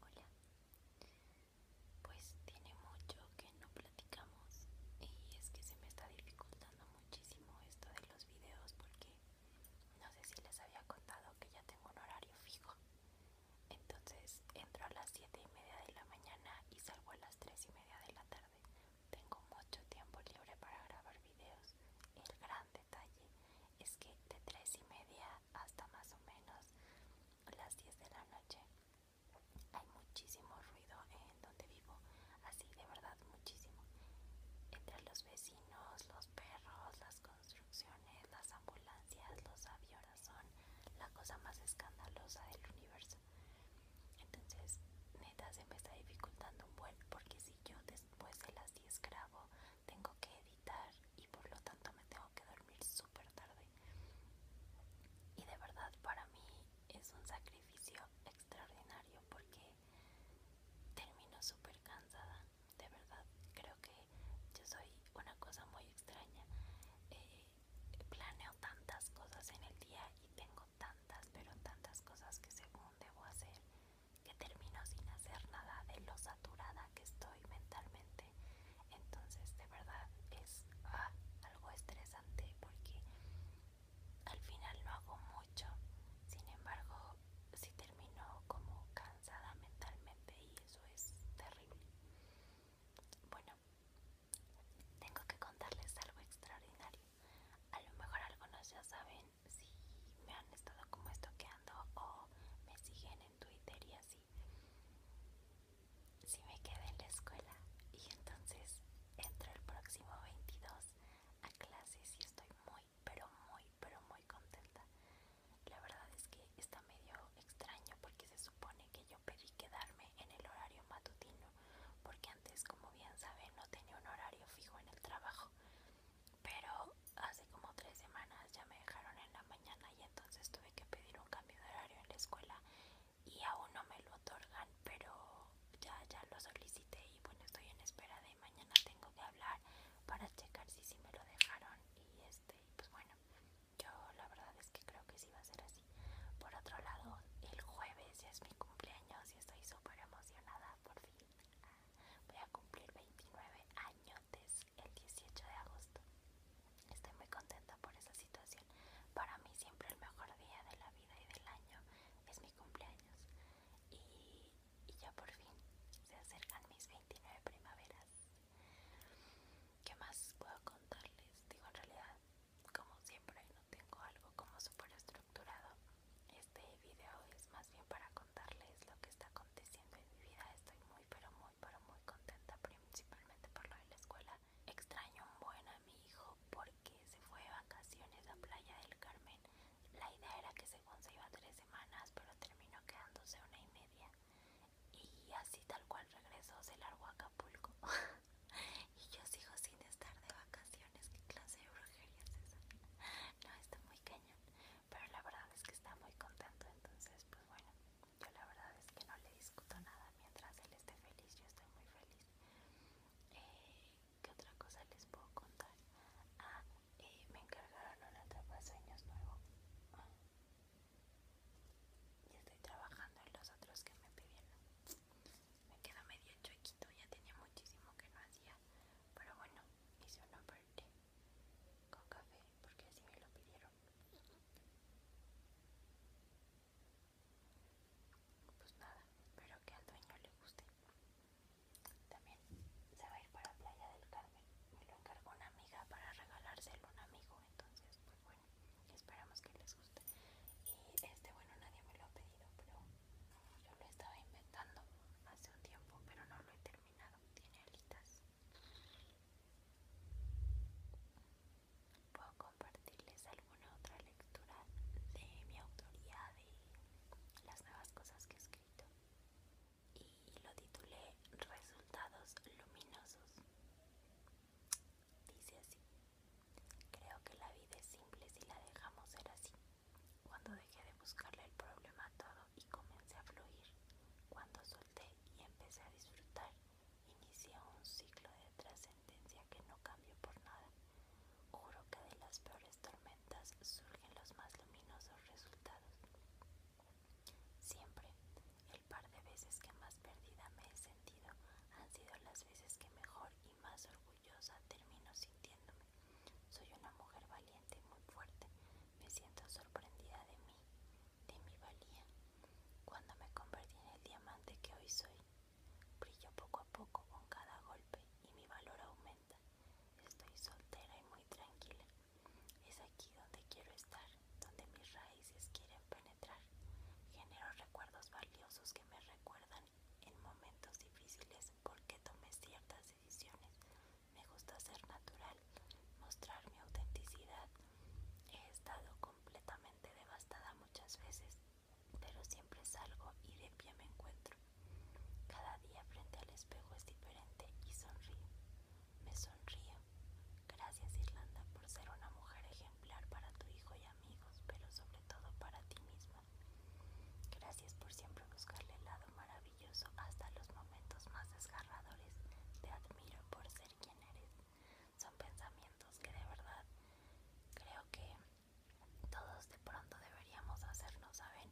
Hola, pues tiene mucho que no platicamos y es que se me está dificultando muchísimo esto de los videos porque no sé si les había contado que ya tengo un horario fijo. Entonces entro a las 7 y media de la mañana y salgo a las 3 y media de la tarde. Tengo mucho tiempo libre para grabar videos. El gran detalle es que de 3 y media hasta más o menos las 10 de la noche. Hay muchísimo ruido en donde vivo, así de verdad muchísimo. Entre los vecinos, los perros, las construcciones, las ambulancias, los aviones son la cosa más escandalosa del universo. Entonces, neta, se me está dificultando un buen porque si yo después de las 10 grabo tengo que editar y por lo tanto me tengo que dormir súper tarde. Y de verdad para mí es un sacrificio extraordinario porque termino súper cansada. De verdad, creo que yo soy una cosa muy extraña. Eh, planeo tantas cosas en el día y tengo tantas, pero tantas cosas que según debo hacer, que termino sin hacer nada de los que estoy mentalmente. Entonces, de verdad es ah, algo estresante porque al final no hago mucho. Sin embargo, si termino como cansada mentalmente y eso es terrible. Bueno, tengo que contarles algo extraordinario. A lo mejor algunos ya saben si me han estado como estoqueando o me siguen en Twitter y así si me quedé en la escuela y entonces entro el próximo 22 a clases y estoy muy, pero muy, pero muy contenta. La verdad es que está medio extraño porque se supone que yo pedí quedarme en el horario matutino porque antes, como bien saben, no tenía un horario fijo en el trabajo. Pero hace como tres semanas ya me dejaron en la mañana y entonces tuve que pedir un cambio de horario en la escuela y aún no me lo otorgan, pero ya, ya lo solicité y bueno, estoy en espera de mañana tengo que hablar para checar si sí si me lo dejaron y este, pues bueno, yo la verdad es que creo que sí va a ser así. Por otro lado, el jueves ya es mi cumpleaños y estoy súper emocionada, por fin ah, voy a cumplir 29 años el 18 de agosto. Estoy muy contenta por esa situación. Para mí siempre el mejor día de la vida y del año es mi cumpleaños. Y, ya por fin se acercan mis 29 primaveras. ¿Qué más puedo contarles? Digo, en realidad, como siempre, no tengo algo como súper estructurado. Este video es más bien para contarles lo que está aconteciendo en mi vida. Estoy muy, pero muy pero muy contenta principalmente por lo de la escuela. Extraño un buen a mi hijo porque se fue de vacaciones a Playa del Carmen. La idea era que según se iba tres semanas pero terminó quedándose una y media. Y así tal cual regresó se largó a Acapulco. y yo sigo sin estar de vacaciones. ¿Qué clase de brujería es esa? no, está muy cañón. Pero la verdad es que está muy contento entonces pues bueno. Yo la verdad es que no le discuto nada mientras él esté feliz, yo estoy muy feliz. Eh, ¿Qué otra cosa les puedo contar? Ah, eh, me encargaron un sueños nuevo. Y estoy trabajando en los otros que me pidieron. Me queda medio chuequito, ya tenía muchísimo que no hacía. Pero bueno, hice una parte con café porque así me lo pidieron. Pues nada, pero que al dueño le guste. También se va a ir para Playa del Carmen. Me lo encargó una amiga para regalárselo a un amigo. Entonces, pues bueno, esperamos que les guste. Y este, bueno, nadie me lo ha pedido, pero yo lo estaba inventando hace un tiempo, pero no lo he terminado. Tiene alitas Puedo compartirles alguna otra lectura de mi autoría de las nuevas cosas que he escrito y lo titulé Resultados Luminosos. Dice así, creo que la vida es simple si la dejamos ser así. Cuando dejé de buscarle el problema a todo y comencé a fluir, cuando su y empecé a disfrutar. inició un ciclo de trascendencia que no cambió por nada. Juro que de las peores tormentas surgen los más luminosos resultados. Siempre, el par de veces que más perdida me he sentido han sido las veces que mejor y más orgullosa termino sintiéndome. Soy una mujer valiente y muy fuerte. Me siento sorprendida de mí, de mi valía, cuando me convertí en el diamante que hoy soy. Brillo poco a poco con cada golpe y mi valor aumenta. Estoy soltera y muy tranquila. Es aquí donde quiero estar, donde mis raíces quieren penetrar. Genero recuerdos valiosos que me recuerdan en momentos difíciles porque tomé ciertas decisiones. Me gusta ser natural mostrar mi autenticidad. He estado completamente devastada muchas veces, pero siempre salgo y de pie me encuentro. Cada día frente al espejo es diferente y sonrío. Me sonrío. Gracias Irlanda por ser una mujer ejemplar para tu hijo y amigos, pero sobre todo para ti misma. Gracias por siempre buscarle el lado maravilloso hasta los momentos más desgarradores. Te admiro por ser quién eres. Son pensamientos que de verdad creo que todos de pronto deberíamos hacernos, ¿saben?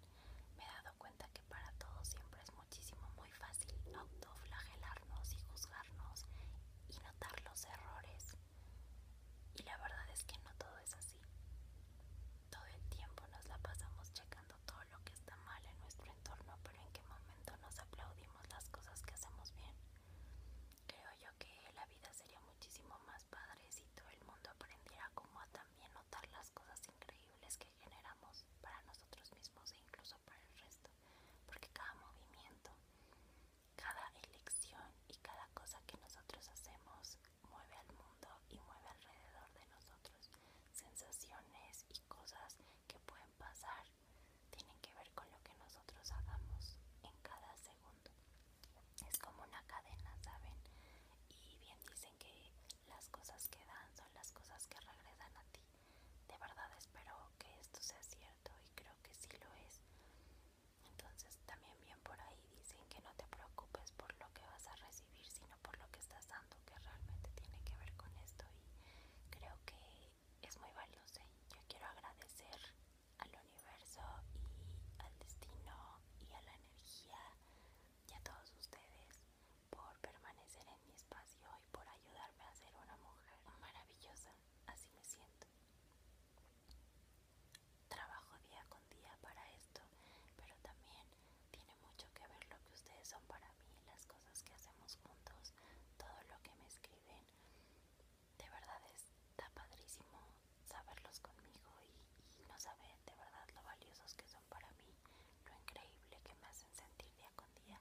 Me he dado cuenta que para todos siempre es muchísimo, muy fácil autoflagelarnos y juzgarnos y notar los errores. Y la verdad es que no todo es así. Todo el tiempo nos la pasamos checando todo lo que está mal en nuestro entorno, pero en qué momento nos aplaudimos las cosas que hacemos bien. Creo yo que la vida sería muchísimo más padre si todo el mundo aprendiera cómo también notar las cosas increíbles que generamos para nosotros mismos e incluso para el resto. Porque cada movimiento, cada elección y cada cosa que nosotros hacemos mueve al mundo y mueve alrededor de nosotros sensaciones y cosas que pueden pasar tienen que ver con lo que nosotros hagamos en cada segundo. Es como una cadena, ¿saben? Y bien dicen que las cosas que dan son las cosas que regresan a ti. De verdad espero que esto sea cierto y creo que sí lo es. Entonces también bien por ahí dicen que no te preocupes por lo que vas a recibir, sino por lo que estás dando, que realmente tiene que ver con esto y creo que es muy valioso, yo quiero agradecer al universo y al destino y a la energía y a todos ustedes por permanecer en mi espacio y por ayudarme a ser una mujer maravillosa. Así me siento. Trabajo día con día para esto, pero también tiene mucho que ver lo que ustedes son para mí, las cosas cosas que hacemos juntos, todo lo que me escriben. De verdad está padrísimo saberlos conmigo y, no saber de verdad lo valiosos que son para mí, lo increíble que me hacen sentir día con día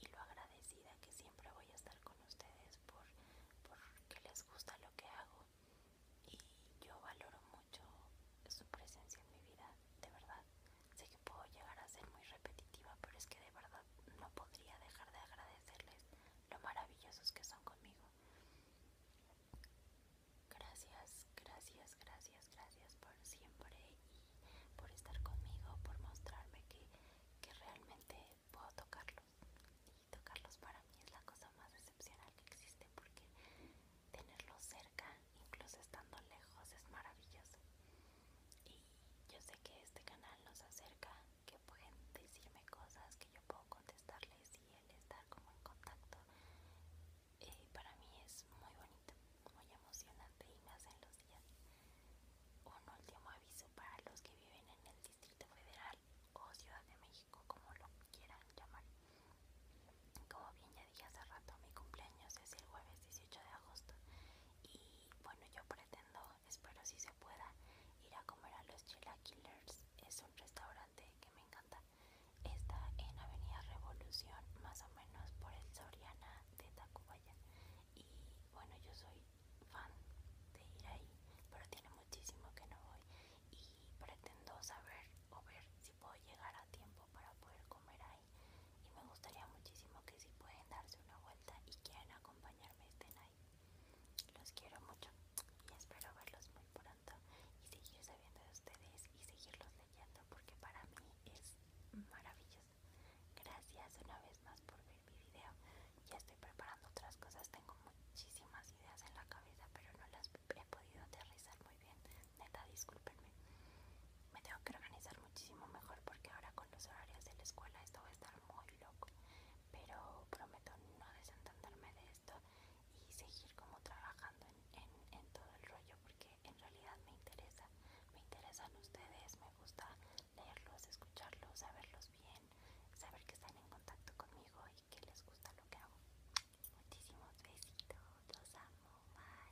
y lo agradecida que siempre voy a estar con ustedes por, porque les gusta lo que hago y yo valoro mucho su presencia en mi vida, de verdad. Sé que puedo llegar a ser muy repetitiva, pero es que de verdad no podría dejar de agradecerles lo maravillosos que son conmigo. Gracias, gracias, gracias, gracias por siempre y por estar conmigo, por mostrarme que, realmente puedo tocarlos. Y tocarlos para mí es la cosa más excepcional que existe porque tenerlos cerca, incluso estando lejos, es maravilloso y yo sé que este canal nos acerca, que pueden decirme cosas que yo puedo contestarles y el estar como en contacto eh, para mí es muy bonito, muy emocionante y me hacen los días. Un último aviso para los que viven en el Distrito Federal o Ciudad de México, como lo quieran llamar. Como bien ya dije hace rato, mi cumpleaños es el jueves 18 de agosto y y bueno yo pretendo, espero si se pueda, ir a comer a los Killers, es un restaurante que me encanta, está en Avenida Revolución, más o menos por el Soriana de Tacubaya y bueno yo soy fan de ir ahí, pero tiene muchísimo que no voy y pretendo saber o ver si puedo llegar a tiempo para poder comer ahí y me gustaría muchísimo que si pueden darse una vuelta y quieran acompañarme este ahí. Los quiero mucho y espero verlos muy pronto y seguir sabiendo de ustedes y seguirlos leyendo porque para mí es maravilloso. Gracias una vez más por ver mi video. Ya estoy preparando otras cosas, tengo muchísimas ideas en la cabeza pero no las he podido aterrizar muy bien. Neta, discúlpenme. Me tengo que organizar muchísimo mejor porque ahora con los horarios de la escuela esto va a estar muy loco. Pero prometo no desentenderme de esto y seguir como trabajando en, todo el rollo porque en realidad me interesa. Me interesan ustedes, me gusta leerlos, escucharlos, saberlos bien, saber que están en contacto conmigo y que les gusta lo que hago. Muchísimos besitos, los amo, bye.